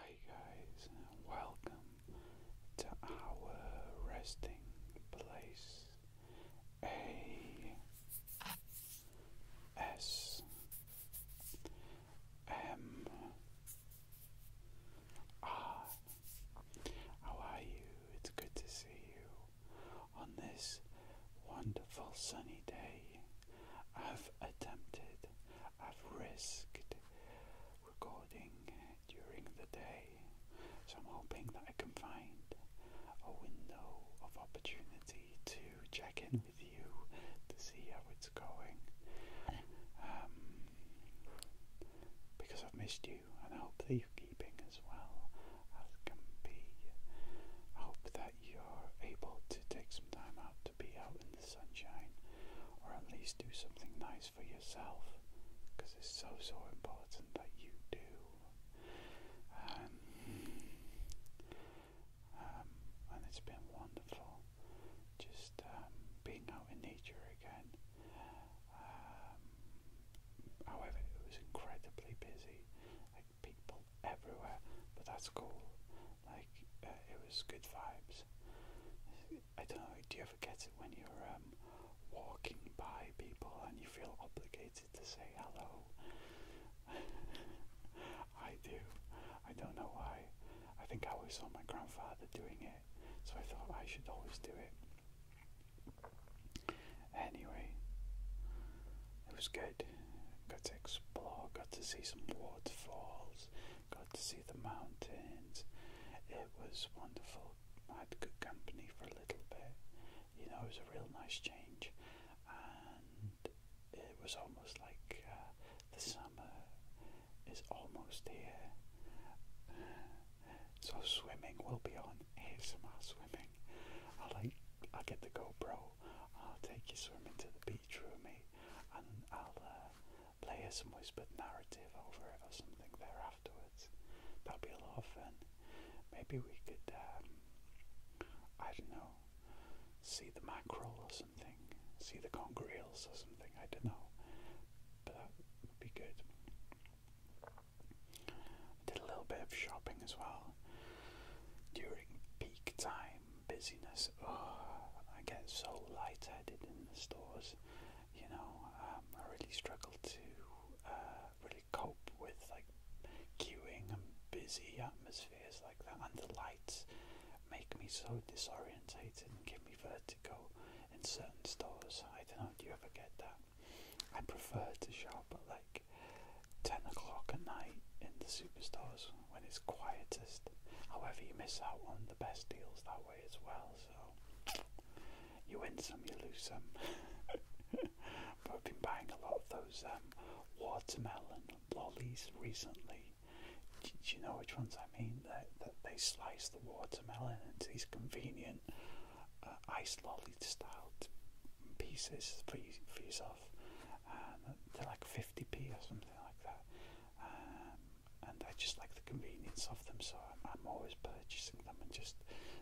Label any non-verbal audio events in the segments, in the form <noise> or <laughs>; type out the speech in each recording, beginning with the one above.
Hi guys welcome to our resting place A S M R How are you? It's good to see you on this wonderful sunny day. I've attempted, I've risked recording during the day. So I'm hoping that I can find a window of opportunity to check in mm. with you to see how it's going. Um, because I've missed you and I hope that you're keeping as well as can be. I hope that you're able to take some time out to be out the sunshine, or at least do something nice for yourself, because it's so, so important that you do. and um, it's been wonderful just um, being out in nature again. Um, however, it was incredibly busy, like people everywhere, but that's cool. Like uh, it was good vibes. I don't know. Do you ever get it when you're um, walking by people and you feel obligated to say hello? <laughs> I do. I don't know why. I think I always saw my grandfather doing it, so I thought I should always do it. Anyway, it was good. Got to explore, got to see some waterfalls, got to see the mountains. It was wonderful. I had good company for a little bit. You know, it was a real nice change, and it was almost like uh, the summer is almost here. So swimming will be on ASMR swimming. I'll i get the GoPro. I'll take you swimming to the beach with me, and I'll uh, play us some whispered narrative over it or something there afterwards. that will be a lot of fun. Maybe we could, um, I don't know, see the mackerel or something, see the conger-eels or something, I don't know. But that would be good. did a little bit of shopping as well during peak time busyness. Oh, I get so light-headed in the stores. You know, um, I really struggle to uh, really cope with like queuing and busy atmospheres like that, and the lights make me so disorientated and give me vertigo in certain stores. I don't know. Do you ever get that? I prefer to shop at like ten o'clock at night in the superstores when it's quietest. However, you miss out on the best deals that way as well. So you win some, you lose some. <laughs> but I've been buying a lot of those um, watermelon lollies recently. Do, you know which ones I mean? That, that they slice the watermelon into these convenient uh, ice lolly style pieces for, you, for yourself. Um, like 50p or something like that. Um, and I just like the convenience of them, so I'm, always purchasing them, and just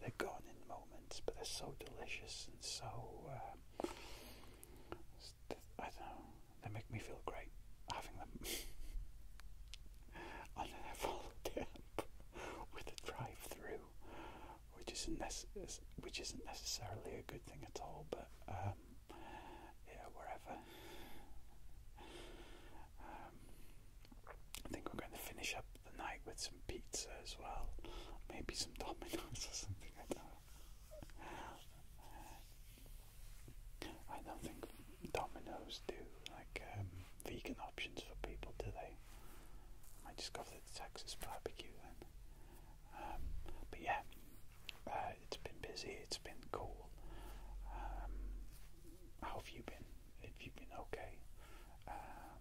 they're gone in moments, but they're so delicious and so um, I don't know, they make me feel great having them on an envelope camp with a drive-through, which isn't which isn't necessarily a good thing at all, but. Um, yeah, wherever. Um, I think we're going to finish up the night with some pizza as well, maybe some Dominoes <laughs> or something. I don't know. I don't think Dominoes do like um, vegan options for people, do they? I might just go for the Texas barbecue then. Um, but yeah, uh, it's been busy, it's been cool. Um, how have you been? Have you been okay? Um,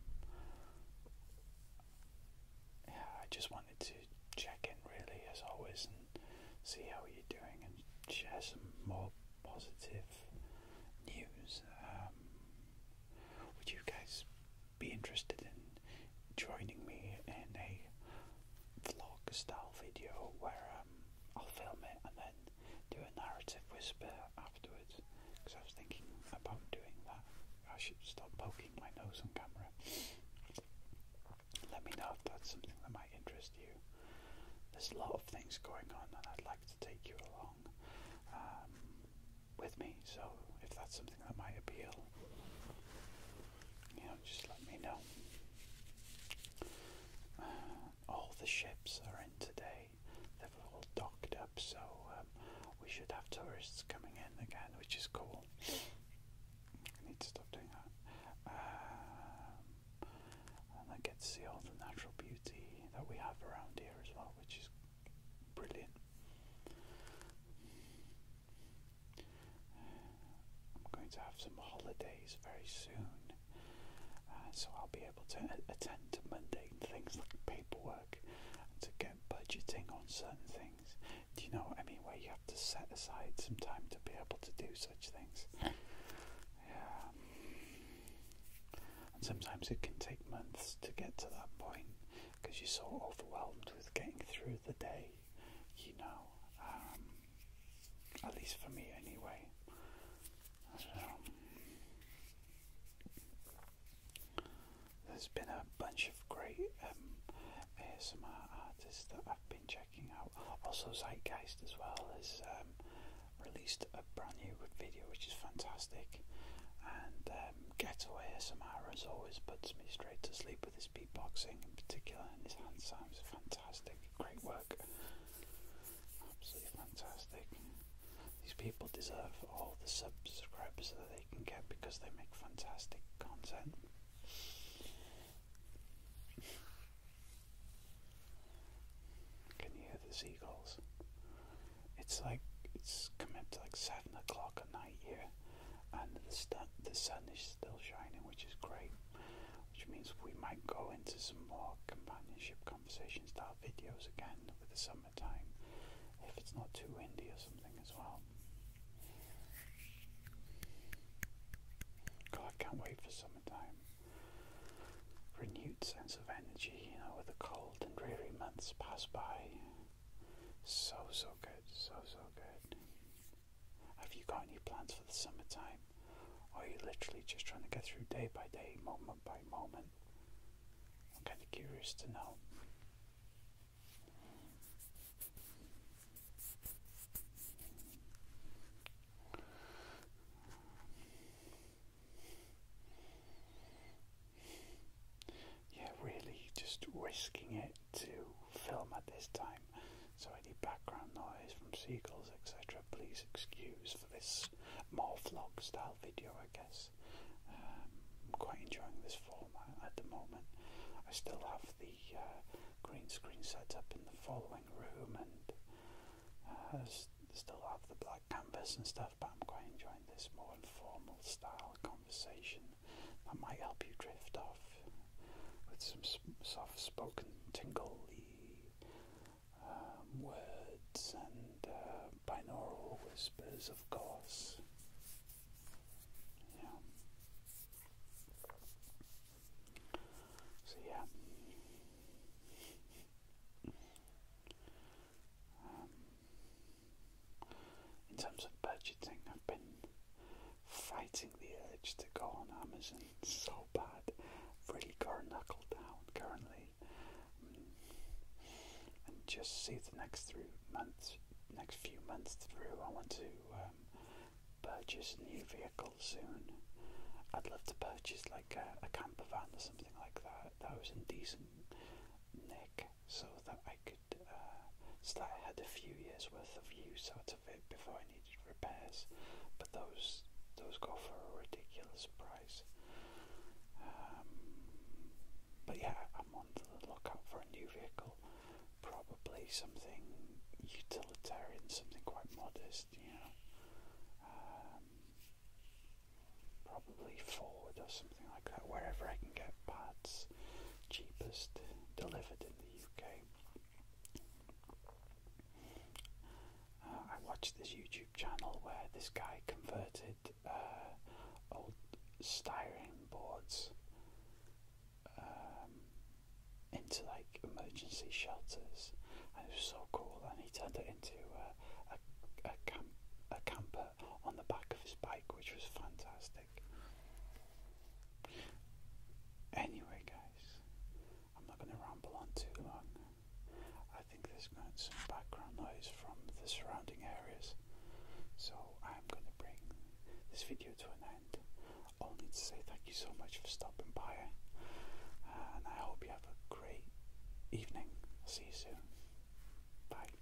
yeah, I just wanted to check in really, as always, and see how you're doing and share some more positive news. would you guys be interested in joining me in a vlog style video where um, I'll film it and then do a narrative whisper afterwards because I was thinking about doing that. I should stop poking my nose on camera. Let me know if that's something that might interest you. There's a lot of things going on, and I'd like to take you along um, with me. So, if that's something that might appeal, you just let me know. Uh, all the ships are in today. They've all docked up, so um, we should have tourists coming in again, which is cool. need to stop doing that. Um, and I get to see all the natural beauty that we have around here as well, which is brilliant. I'm going to have some holidays very soon, uh, so I'll be able to attend to mundane things like paperwork and to get budgeting on certain things. Do you know what I mean? Where you have to set aside some time to be able to do such things. <laughs> yeah. And sometimes it can take months to get to that point because you're so overwhelmed with getting through the day you know, um, at least for me anyway. Um, there's been a bunch of great um, ASMR artists that I've been checking out. Also, Zeitgeist as well has released a brand new video, which is fantastic. And Getaway ASMR, as always, puts me straight to sleep with his his beatboxing in particular and his hand are fantastic. Great work. Absolutely fantastic. These people deserve all the subscribers that they can get because they make fantastic content. Can you hear the seagulls? It's like it's come up to like seven o'clock at night here and the, st the sun is still shining, which is great. Which means we might go into some more companionship conversation style videos again with the summertime, if it's not too windy or something as well. God, I can't wait for summertime. Renewed sense of energy, you know, with the cold and dreary months pass by. So, so good, so, so good. Have you got any plans for the summertime? Or are you literally just trying to get through day by day, moment by moment? I'm kind of curious to know. Yeah, really, just risking it to film at this time, so any background noise from seagulls, etc., please excuse for this more vlog style video, I guess. Um, I'm quite enjoying this format at the moment. I still have the uh, green screen set up in the following room and I uh, still have the black canvas and stuff, but I'm quite enjoying this more informal style conversation that might help you drift off with some soft spoken, tingly um, words and uh, binaural whispers, of course. Yeah. So, yeah. Um, in terms of budgeting, I've been fighting the urge to go on Amazon so bad. really got knuckle down currently. Mm. And just see the next through months, next few months through. I want to um, purchase new vehicle soon. I'd love to purchase like a, a camper van or something like that. That was in decent nick, so that I could uh, so that I had a few years worth of use out of it before I needed repairs, but those those go for a ridiculous price. Um, but yeah, I'm on the lookout for a new vehicle, probably something utilitarian, something quite modest, you know, um, probably Ford or something like that, wherever I can get parts cheapest delivered in uh, I watched this YouTube channel where this guy converted uh, old styrene boards um, into like emergency shelters, and it was so cool. And he turned it into uh, a, a camper on the back of his bike, which was fantastic. Anyway, guys, I'm not going to ramble on too long. I think there's going to be some background noise from the surrounding areas, so I'm going to bring this video to an end. Only to say thank you so much for stopping by, and I hope you have a great evening. See you soon. Bye.